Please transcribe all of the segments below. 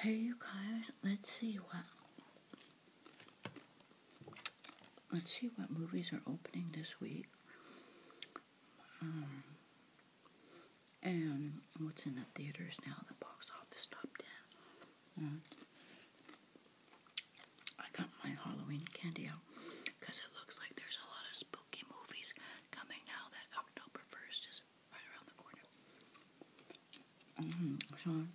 Hey, guys, let's see what. Let's see what movies are opening this week. Um, and what's in the theaters now? The box office top 10. Um, I got my Halloween candy out because it looks like there's a lot of spooky movies coming now that October 1st is right around the corner. So, mm,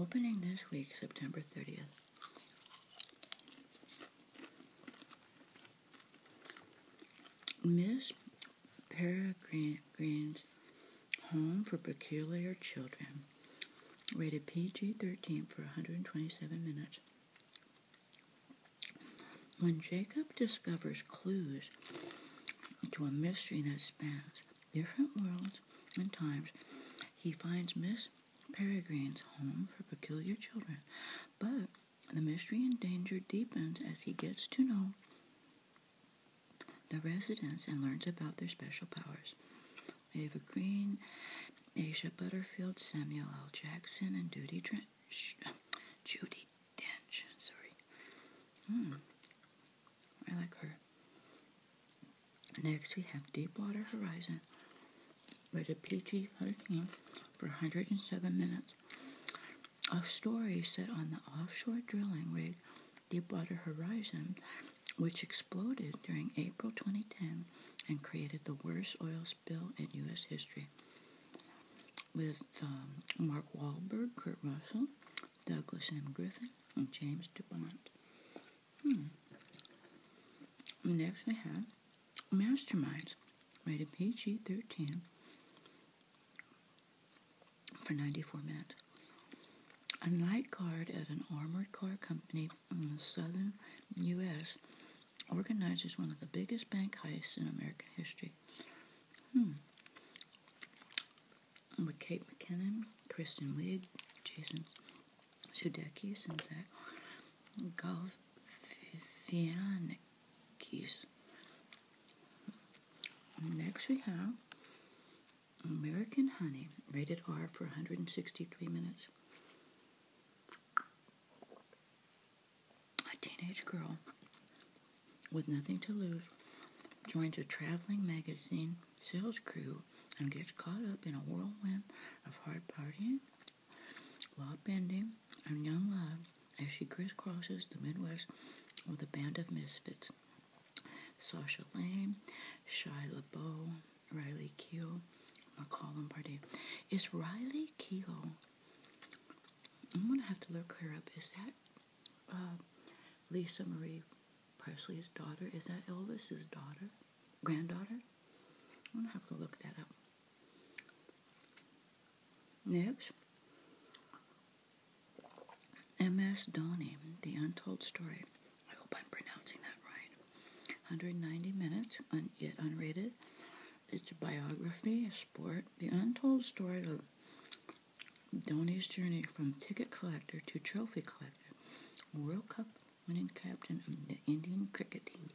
opening this week, September 30th. Miss Peregrine's Home for Peculiar Children, rated PG 13 for 127 minutes. When Jacob discovers clues to a mystery that spans different worlds and times, he finds Miss Peregrine's home for peculiar children. But the mystery and danger deepens as he gets to know the residents and learns about their special powers. Eva Green, Asia Butterfield, Samuel L. Jackson, and Judy Trent. Judy Dench. Sorry. Hmm, I like her. Next, we have Deepwater Horizon with a PG 13 for 107 minutes a story set on the offshore drilling rig Deepwater Horizon, which exploded during April 2010 and created the worst oil spill in U.S. history with um, Mark Wahlberg, Kurt Russell, Douglas M. Griffin, and James DuPont. Hmm. Next we have Masterminds, rated PG-13 for 94 minutes. A night guard at an armored car company southern U.S., organizes one of the biggest bank heists in American history. Hmm. With Kate McKinnon, Kristen Wiig, Jason Sudeikis, and Zach Galifianakis. Next we have American Honey, rated R for 163 minutes. A teenage girl with nothing to lose joins a traveling magazine sales crew and gets caught up in a whirlwind of hard partying, law bending, and young love as she crisscrosses the Midwest with a band of misfits. Sasha Lane, Shia LaBeouf, Riley Keough. I'm going to call him by name. Is Riley Keough, I'm going to have to look her up. Is that uh, Lisa Marie Presley's daughter? Is that Elvis's daughter? Granddaughter? I'm going to have to look that up. Next. M.S. Donnie, The Untold Story. I hope I'm pronouncing that right. 190 minutes, un yet unrated. It's a biography, a sport, the untold story of Donny's journey from ticket collector to trophy collector, World Cup winning captain of the Indian cricket team.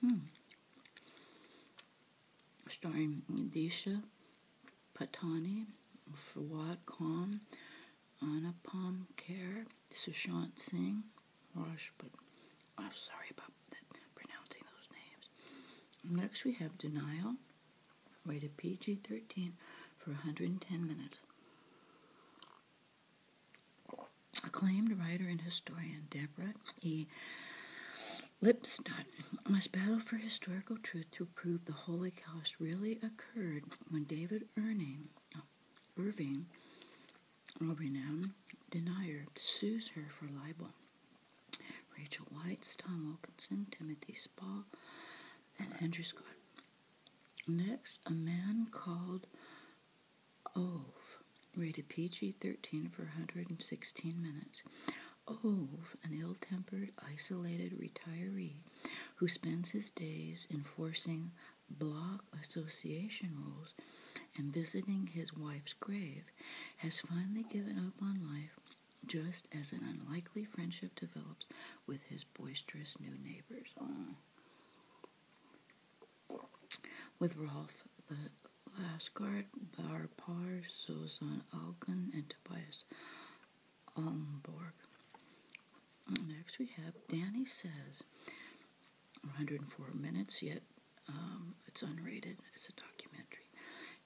Hmm. Starring Disha Patani, Fawad Khan, Anna This is Shant Singh, Rajput. I'm sorry about that, pronouncing those names. Next, we have Denial, rated PG 13 for 110 minutes. Acclaimed writer and historian Deborah E. Lipstadt must battle for historical truth to prove the Holocaust really occurred when David Irving, Irving, a renowned denier, sues her for libel. Rachel White, Tom Wilkinson, Timothy Spall, and Andrew Scott. Next, a man called Ove, rated PG 13 for 116 minutes. Ove, an ill tempered, isolated retiree who spends his days enforcing block association rules and visiting his wife's grave, has finally given up on life just as an unlikely friendship develops with his boisterous new neighbors. With Rolf, the Lasgard, Barpar, Sozan Algan, and Tobias Almborg. Next we have Danny Says, 104 minutes, yet um, it's unrated. It's a documentary.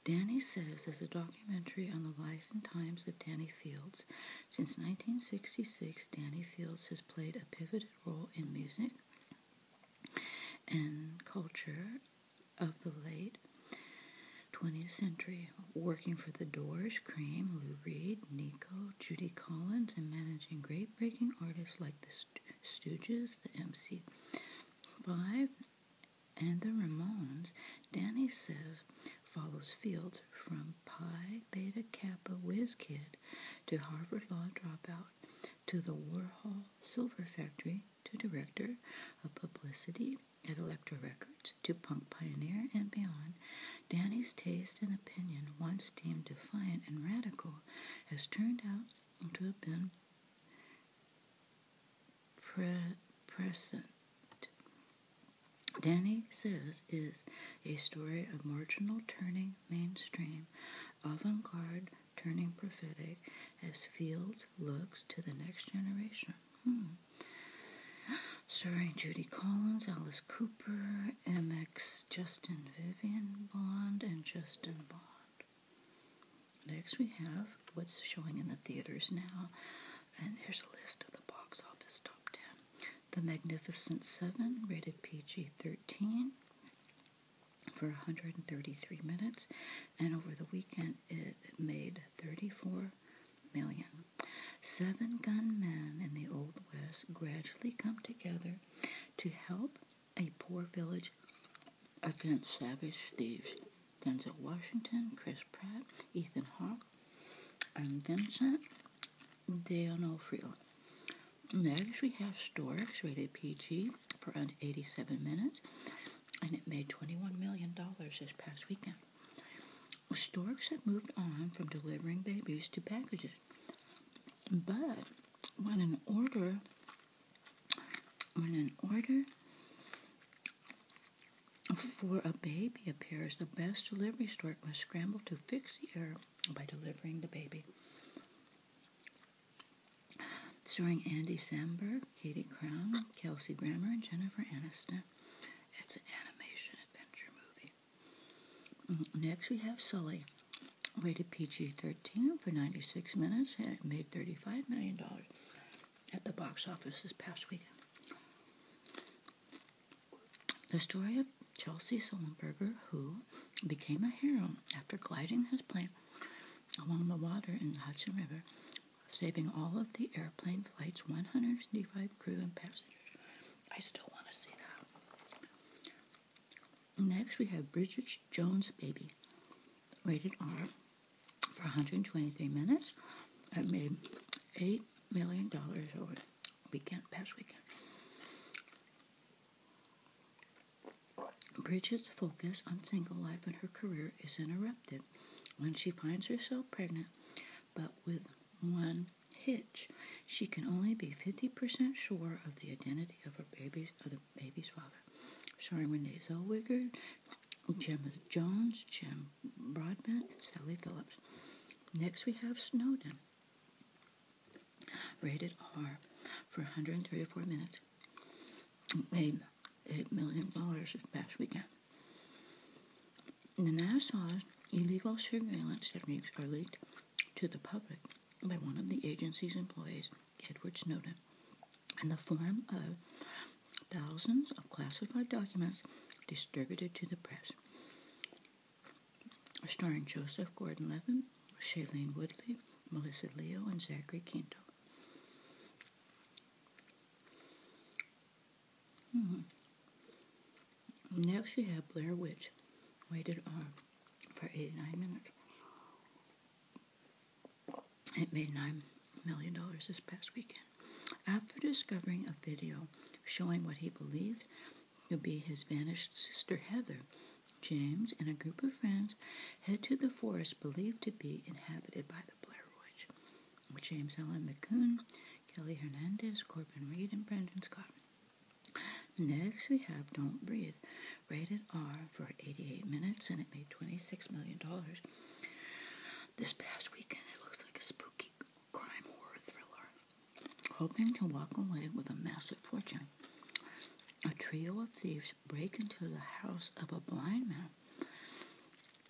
Danny Says is a documentary on the life and times of Danny Fields. Since 1966, Danny Fields has played a pivotal role in music and culture of the late 20th century, working for the Doors, Cream, Lou Reed, Nico, Judy Collins, and managing great breaking artists like the Stooges, the MC5, and the Ramones, Danny says follows Fields from Pi Beta Kappa whiz kid to Harvard Law dropout to the Warhol Silver Factory to Director of Publicity at Elektra Records, to punk pioneer and beyond, Danny's taste and opinion, once deemed defiant and radical, has turned out to have been present. Danny Says is a story of marginal turning mainstream, avant garde turning prophetic, as fields looks to the next generation. Hmm. Starring Judy Collins, Alice Cooper, MX Justin Vivian Bond, and Justin Bond. Next, we have what's showing in the theaters now, and here's a list of the box office top 10 The Magnificent Seven, rated PG 13 for 133 minutes, and over the weekend it it made 34 million. Seven gunmen in the Old West gradually come together to help a poor village against savage thieves. Denzel Washington, Chris Pratt, Ethan Hawke, and Vincent D'Onofrio. Next, we have Storks, rated PG, for around 87 minutes and it made $21 million this past weekend. Storks have moved on from delivering babies to packages. But when an order when an order for a baby appears, the best delivery stork must scramble to fix the error by delivering the baby starring Andy Samberg, Katie Crown, Kelsey Grammer, and Jennifer Aniston. It's an animation adventure movie. Mm-hmm. Next, we have Sully, rated PG 13 for 96 minutes, and it made $35 million at the box office this past weekend. The story of Chelsea Sullenberger, who became a hero after gliding his plane along the water in the Hudson River, saving all of the airplane flights, 155 crew and passengers. I still want to see that. Next, we have Bridget Jones' Baby, rated R, for 123 minutes. It made $8 million over weekend, past weekend. Bridget's focus on single life and her career is interrupted when she finds herself pregnant, but with one hitch. She can only be 50% sure of the identity of her baby's, of the baby's father. Starring Renee Zellweger, Gemma Jones, Jim Broadbent, Sally Phillips. Next, we have Snowden rated R for 134 minutes made $8 million last weekend. The NSA's illegal surveillance techniques are leaked to the public by one of the agency's employees, Edward Snowden, in the form of thousands of classified documents distributed to the press. Starring Joseph Gordon Levin Shailene Woodley, Melissa Leo, and Zachary Quinto. Hmm. Next, we have Blair Witch, waited on for 89 minutes. It made $9 million this past weekend. After discovering a video showing what he believed You'll be his vanished sister Heather. James and a group of friends head to the forest believed to be inhabited by the Blair Witch, with James Allen McCoon, Kelly Hernandez, Corbin Reed, and Brendan Scott. Next, we have Don't Breathe, rated R for 88 minutes, and it made $26 million. This past weekend, it looks like a spooky crime horror thriller Hoping to walk away with a massive fortune, a trio of thieves break into the house of a blind man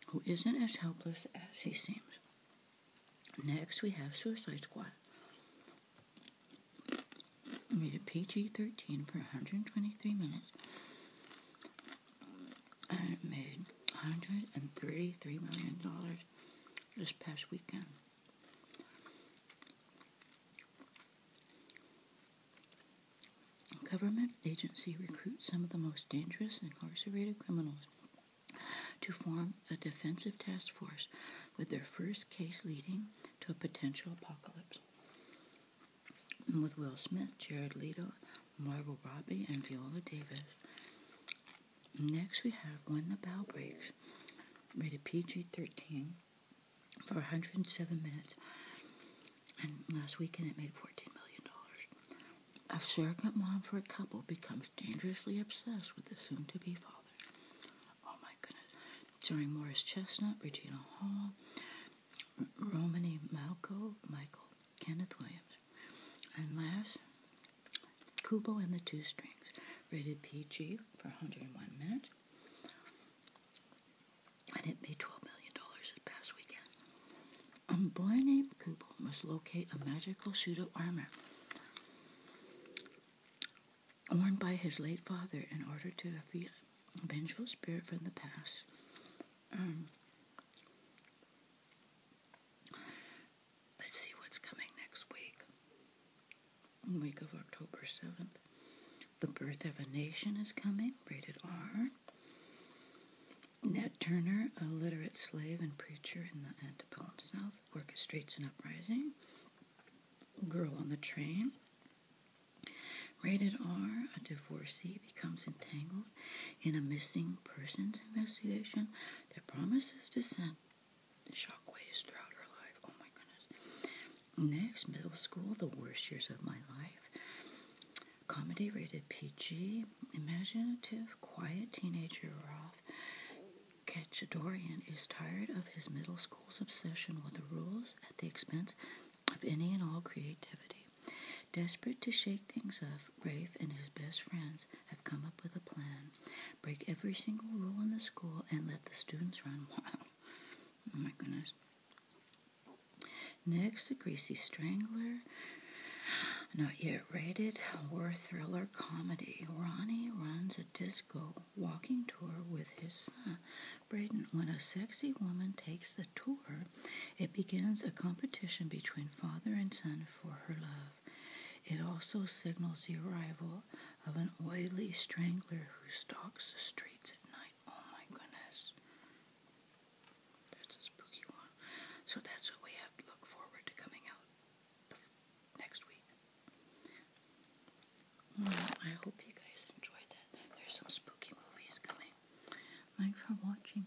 who isn't as helpless as he seems. Next, we have Suicide Squad. Made a PG 13 for 123 minutes. And it made $133 million this past weekend. Government agency recruits some of the most dangerous incarcerated criminals to form a defensive task force with their first case leading to a potential apocalypse. And with Will Smith, Jared Leto, Margot Robbie, and Viola Davis Next, we have When the Bell Breaks, rated PG 13 for 107 minutes. And last weekend, it made $14 million. A surrogate mom for a couple becomes dangerously obsessed with the soon to be father. Oh my goodness. Starring Morris Chestnut, Regina Hall, Romany Malco, Michael, Kenneth Williams. And last, Kubo and the Two Strings, rated PG for 101 minutes, and it made $12 million this past weekend. A um, boy named Kubo must locate a magical suit armor worn by his late father in order to defeat a vengeful spirit from the past. Um, let's see what's coming next week. Week of October 7th. The Birth of a Nation is coming, rated R. Nat Turner, a literate slave and preacher in the antebellum South, orchestrates an uprising. Girl on the Train. Rated R, a divorcee becomes entangled in a missing persons investigation that promises to send shockwaves throughout her life. Oh my goodness. Next, middle school, the worst years of my life. Comedy rated PG, imaginative, quiet teenager Rafe. Ketchadorian is tired of his middle school's obsession with the rules at the expense of any and all creativity. Desperate to shake things up, Rafe and his best friends come up with a plan. Break every single rule in the school and let the students run wild. oh my goodness. Next, The Greasy Strangler. Not yet rated horror thriller comedy. Ronnie runs a disco walking tour with his son, Braden. When a sexy woman takes the tour, it begins a competition between father and son for her love. It also signals the arrival of an oily strangler who stalks the streets at night. Oh my goodness. That's a spooky one. So that's what we have to look forward to coming out next week. I hope you guys enjoyed that. There's some spooky movies coming. Thanks for watching.